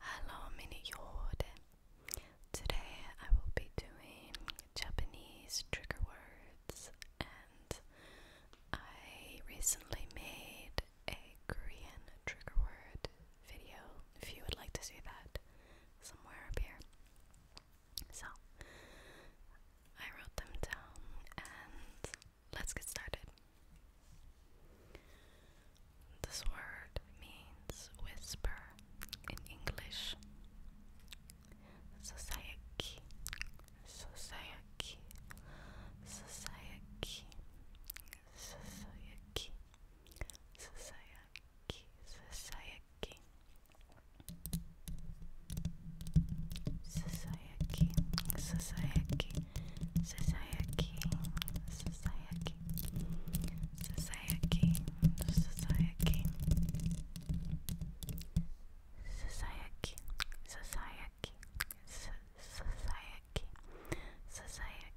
Hello, Mini Yod. Today I will be doing Japanese trigger words, and I recently made a Korean trigger word video. If you would like to see that, somewhere up here. So I wrote them down, and Let's get started. This word means whisper in English. Society, society, society, society, society, society, society, society. Society, society, society, society, society, society, society, society,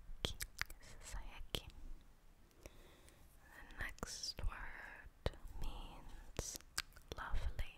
The next word means lovely.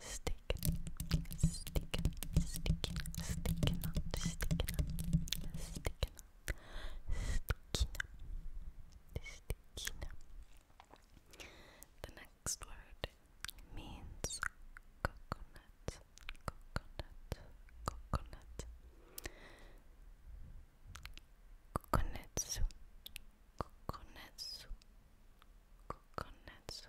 sticking, sticking, sticking, sticking, sticking, sticking, sticking. The next word means coconut, coconut, coconut. Kokonetsu, kokonetsu, kokonetsu,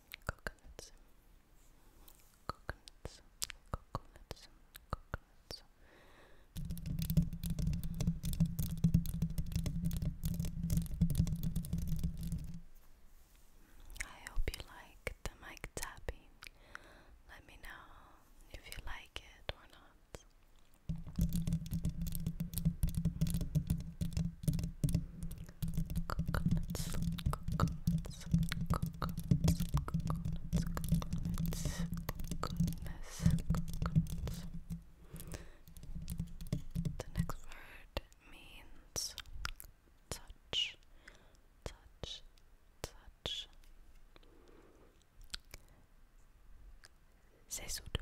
coconuts, coconuts, coconuts, coconuts. I hope you like the mic tapping. Let me know if you like it or not coconuts, coconuts, The next word means touch, touch, touch. Sesudo,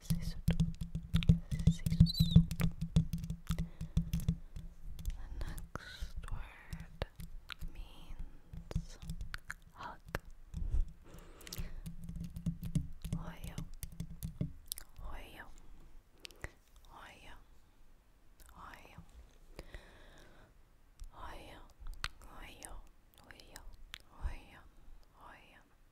c'est ce The next word means hug. Hoyo, hoyo, hoyo, hoyo, hoyo, hoyo, hoyo, hoyo, hoyo.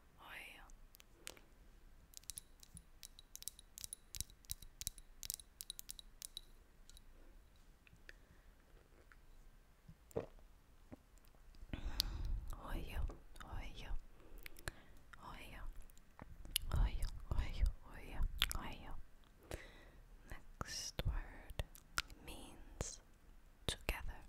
oil. Oil, oil, oil, oil, oil, Next word means together.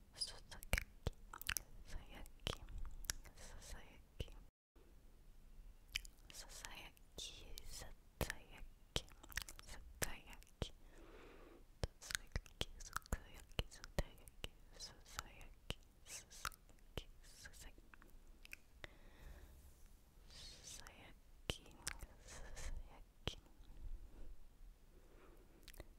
Suzuki, Suzuki, Suzuki, Suzuki, Suzuki, Suzuki, Suzuki, Suzuki, Suzuki, Suzuki, Suzuki, Suzuki, Suzuki, Suzuki,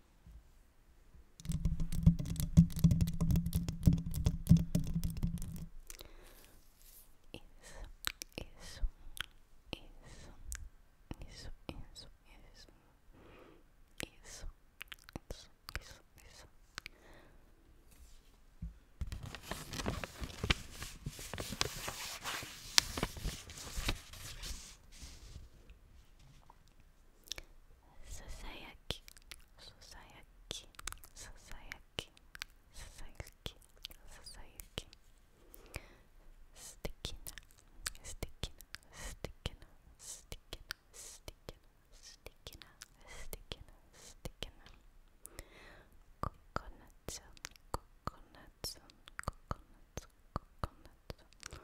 Isso, isso, isso, isso, isso, isso, isso, isso, isso. ささやきささやきささやきささやきささやき素敵な素敵な素敵な素敵な素敵な素敵な素敵な素敵なココナッツココナッツココナッツココナッツ